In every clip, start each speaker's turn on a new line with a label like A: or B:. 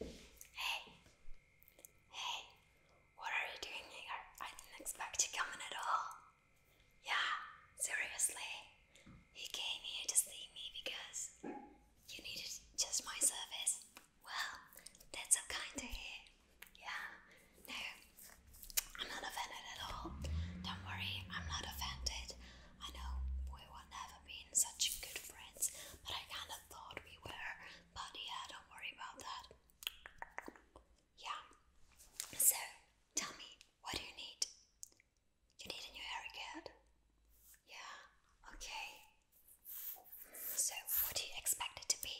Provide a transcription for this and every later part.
A: Hey, hey, what are you doing here? I didn't expect you coming at all. Yeah, seriously, you came here to see me because you needed just my service. Well, that's so kind to hear. Yeah, no, I'm not offended at all. Don't worry, I'm not offended. I know we were never been such good friends, but I kinda thought we were. But yeah, don't worry about that. Yeah. So, tell me, what do you need? You need a new haircut? Yeah, okay. So, what do you expect it to be?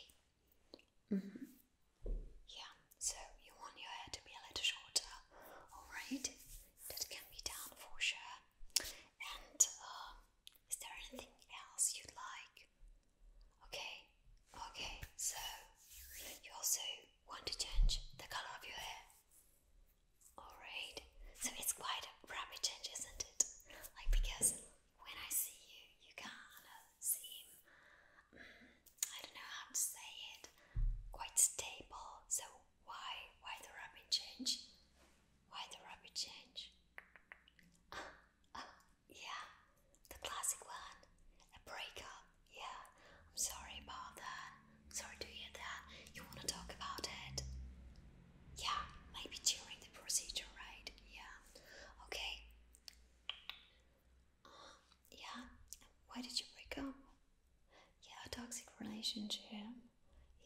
A: Mm -hmm. Yeah, so you want your hair to be a little shorter, alright? that can be done for sure. And uh, is there anything else you'd like? Okay, okay, so you also want to change the color of your hair. Alright, so it's quite a rapid change, isn't it? Like, because when I see you, you kind of seem mm, I don't know how to say it, quite stable. So why why the rapid change? Why the rapid change? Uh, uh, yeah, the classic one, a breakup. Yeah, I'm sorry about that. sorry to hear that. You want to talk about it? Yeah, maybe during the procedure, right? Yeah. Okay. Yeah, why did you break up? Yeah, toxic relationship.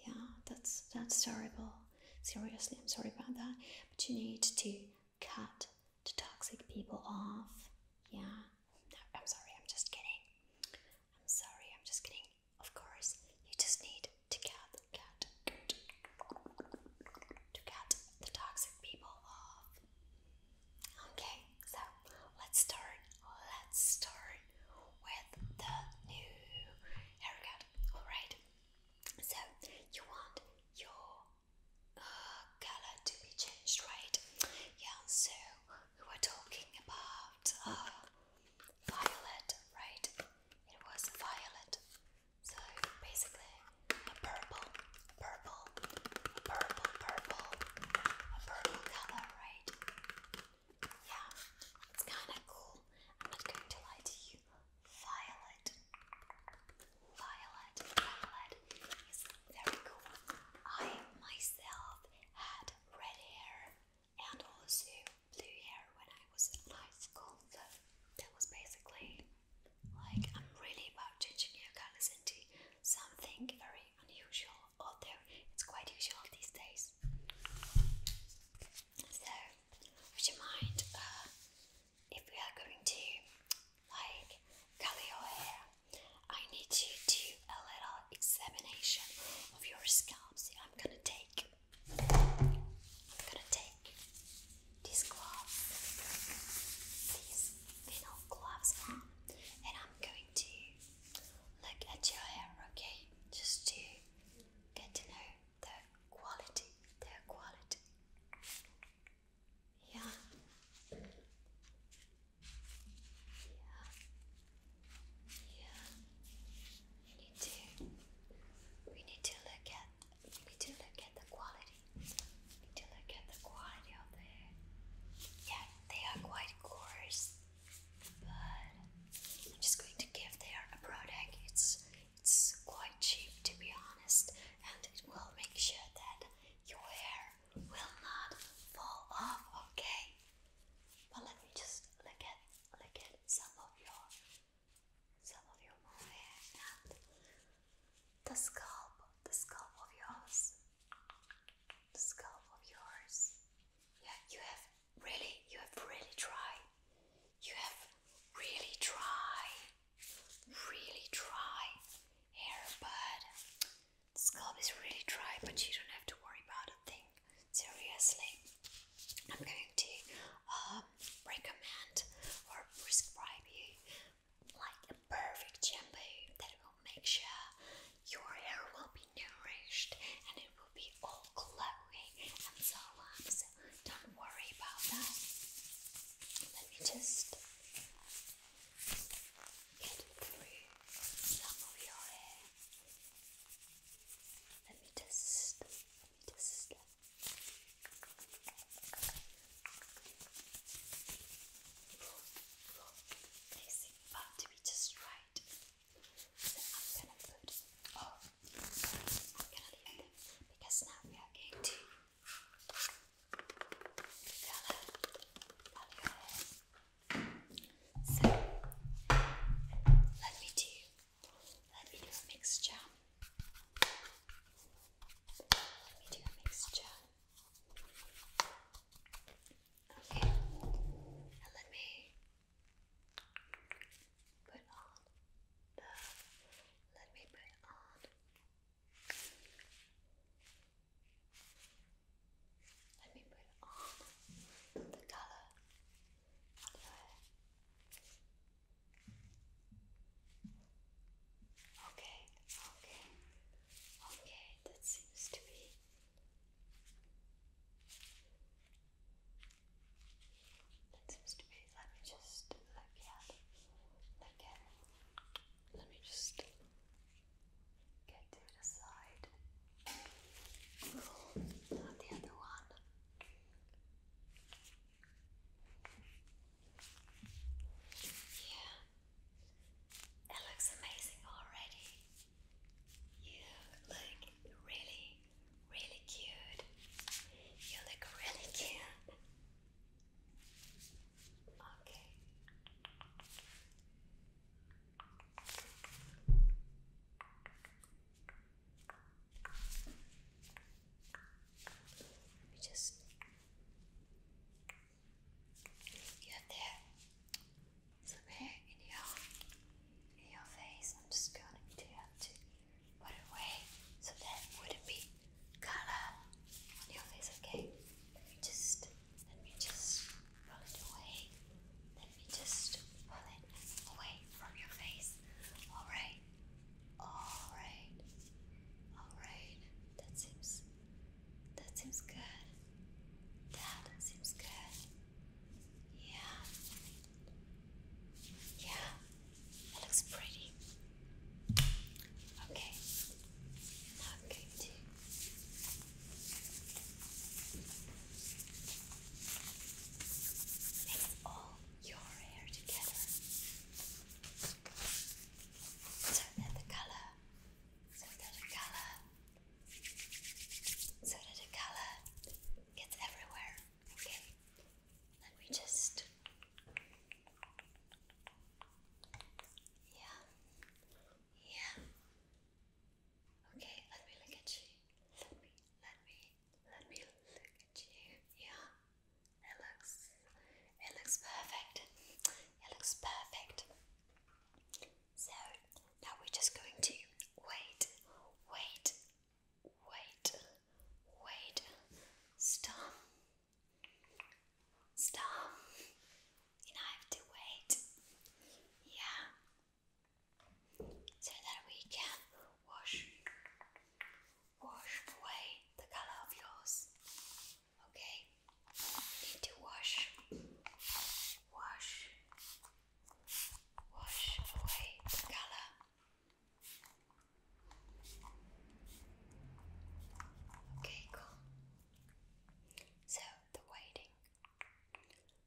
A: Yeah, that's that's terrible. Seriously, I'm sorry about that. But you need to cut the toxic people off. Yeah. I'm sorry, I'm just kidding. I'm sorry, I'm just kidding. Of course, you just need to cut, cut, cut to cut the toxic people off. Okay, so let's start. Let's start with the new haircut. Alright, so you want your uh, color to be changed, right? Yeah, so we were talking about uh, violet, right? It was violet, so basically purple purple, purple, purple, a purple color, right? Yeah, it's kind of cool. I'm not going to lie to you. Violet, violet, violet is very cool. I myself had red hair and also blue hair when I was in high school, so that was basically like I'm really about changing hair colors into something very unusual, although it's quite usual these days. So, would you mind uh, if we are going to like color your hair? I need to do a little examination of your scalp. See, I'm gonna take. I'm gonna take these gloves. These vinyl gloves and I'm going to look at your hair, okay? Just to get to know the quality, the quality. Yeah. Yeah. Yeah. We need to we need to look at we need to look at the quality did you look the quality of the Yeah, they are quite coarse, but I'm just going to give there a product. It's it's quite cheap to be honest, and it will make sure that your hair will not fall off. Okay, but let me just look at look at some of your some of your hair the scalp, the scalp of yours, the scalp of yours. Yeah, you have really, you have really tried. You have really tried, really tried hair, but the scalp is really dry. But you don't have to worry about a thing. Seriously, I'm going to um, recommend or prescribe you like a perfect shampoo that will make sure your hair will be nourished and it will be all glowing and so So don't worry about that. Let me just get through some of your hair. Let me just, let me just. Placing about to be just right. Then I'm gonna put oh, I'm gonna leave them because now we are going to So let me do let me do a mixture. Let me do a mixture. Okay, let me put on the. Let me put on. Let me put on the color Okay, okay, okay, that seems to be. That seems to be. Let me just look at. Look at. Let me just get to the side. Not the other one. Yeah, it looks amazing already. You look really, really cute. You look really cute. Okay. Let just. you there. Somewhere in your, in your face. I'm just going to have to put it away so that wouldn't be color on your face, okay? Let me just. Let me just pull it away. Let me just pull it away from your face. Alright. Alright. Alright. That seems that seems good. That seems good. Yeah. Yeah. It looks pretty. Okay. Now i your hair together so that the color, so that the color, so that the color gets everywhere. Okay, let me just. Yeah, yeah. Okay, let me look at you. Let me, let me, let me look at you. Yeah, it looks, it looks perfect. It looks perfect. So now we're just going to wait, wait, wait, wait. Stop. Stop. You know I have to wait. Yeah so that we can wash wash away the color of yours. Okay, need to wash wash wash away the color. Okay, cool. So the waiting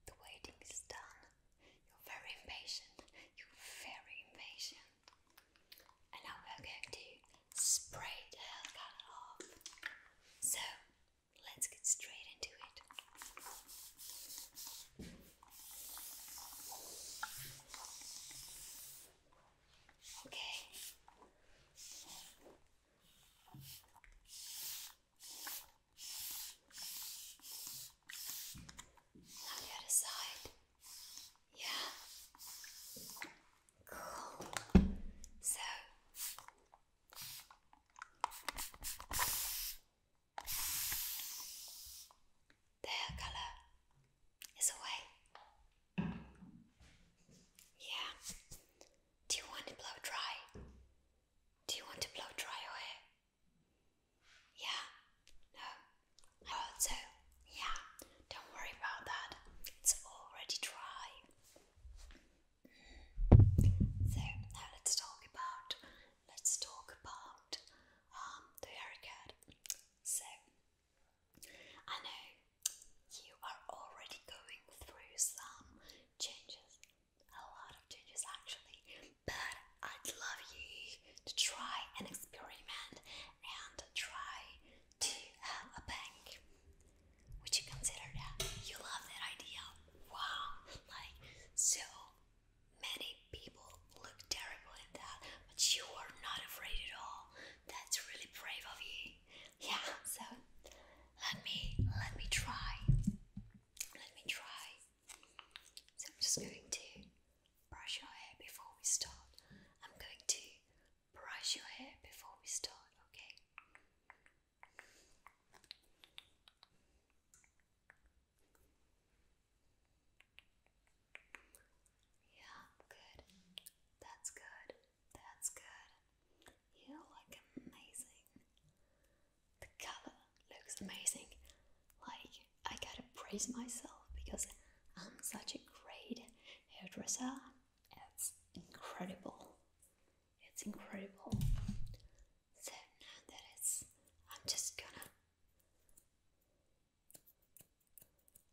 A: the waiting is done. You're very impatient. You're very impatient. And now we're going to spray the hair color off. So let's get straight into it. Okay the other side. Yeah. Cool. So their color is away. Yeah. Do you want to blow dry? Do you want to blow dry your hair? Yeah, no, I so. Yeah, don't worry about that. It's already dry. Mm. So now let's talk about let's talk about um the haircut. So I know you are already going through some changes a lot of changes actually, but I'd love you to try and experiment and try to have a bank. Would you consider that? You love that idea. Wow, like so many people look terrible in that, but you are not afraid at all. That's really brave of you. Yeah, so let me let me try. Let me try so I'm just going to brush your hair before we start. I'm going to brush your hair before we start, okay? Yeah, good. That's good. That's good. You look amazing. The color looks amazing. Like, I gotta praise myself because I'm such a great hairdresser. It's incredible. It's incredible. So now that I'm just gonna,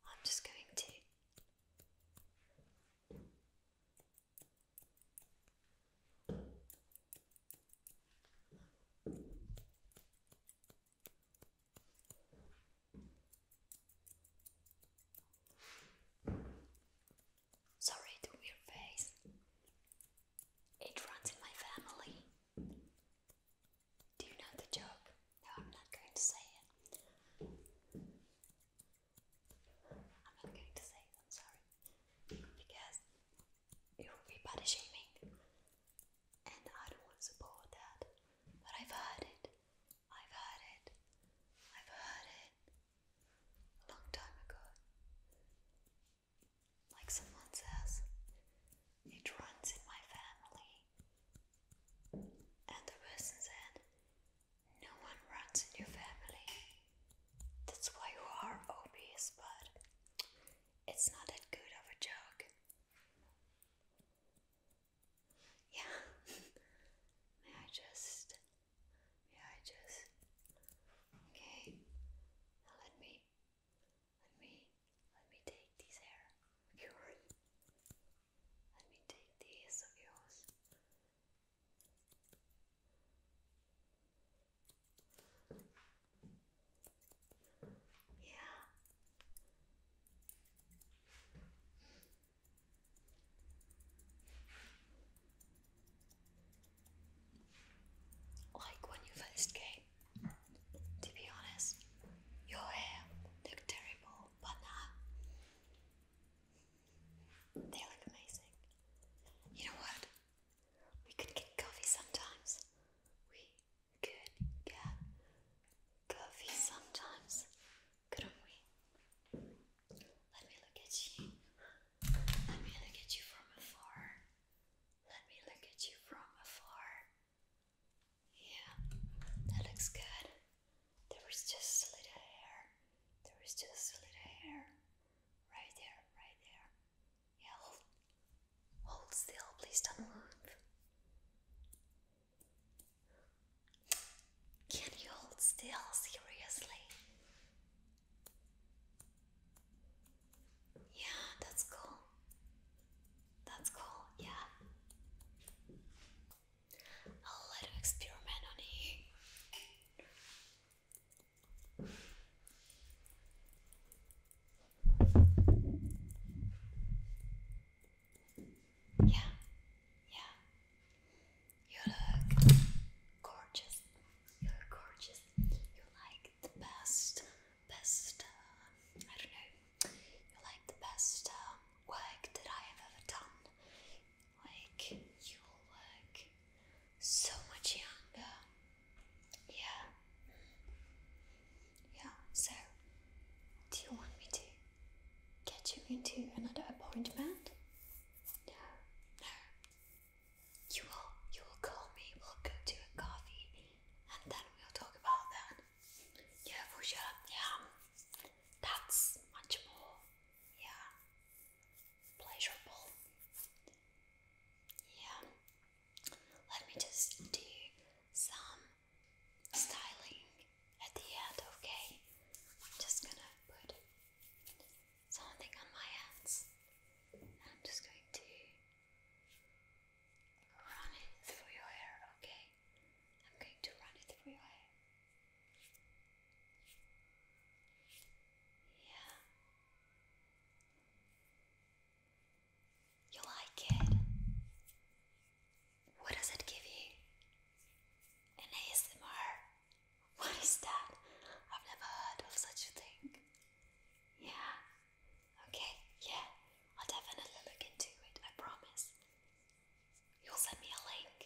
A: I'm just going to Sorry to your face. It runs in my family. Do you know the joke? No, I'm not going to say it. I'm not going to say I'm sorry, because it would be body shaming, and I don't want to support that. But I've heard it, I've heard it, I've heard it a long time ago. Like someone says, it runs in my family. And the person said, no one runs in your family. That's why you are obese, but it's not that good of a joke. Yeah. may I just. May I just. Okay. Now let me. Let me. Let me take these hair of yours. Let me take these of yours. Yeah. Like when you first came. To be honest, your hair looked terrible, but now they look amazing. You know what? We could get coffee sometimes. We could get coffee sometimes, couldn't we? Let me look at you. Let me look at you from afar. Let me look at you from afar. Yeah, that looks good. There is just a little hair. There is just a little hair. Right there, right there. Yeah, hold, hold still. Please don't move. Can you hold still? Seriously? Yeah, that's cool. That's cool, yeah a little experiment on you. Yeah, yeah. You look gorgeous. You look gorgeous. You're like the best, best, uh, I don't know, you're like the best uh, work that I have ever done like you look so much younger. Yeah. Yeah, so do you want me to get you into another appointment? No, no. You will you will call me, we'll go to a coffee and then we'll talk about that. Yeah, for sure. Yeah. That's much more yeah, pleasurable. Yeah, let me just do some styling at the end, okay? I'm just gonna put something on my hands and I'm just going to run it through your hair, okay? I'm going to run it through your hair. Yeah. You like it? What does it give you? An ASMR? What is that? I've never heard of such a thing. Yeah. Okay, yeah. I'll definitely look into it, I promise. You'll send me a link.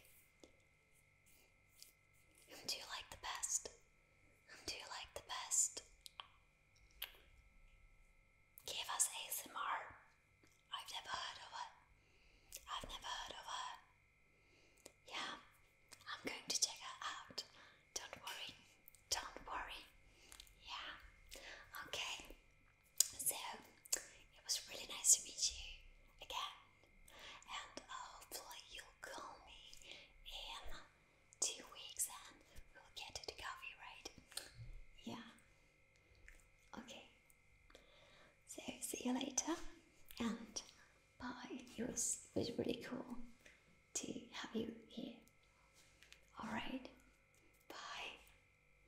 A: Whom do you like the best? Whom do you like the best? Give us ASMR. I've never heard of it. I've never heard of her. Yeah, I'm going to check her out. Don't worry. Don't worry. Yeah. Okay. So it was really nice to meet you again, and uh, hopefully you'll call me in two weeks and we'll get to the coffee, right? Yeah. Okay. So see you later, and bye. It was it was really cool to have you here. All right. Bye.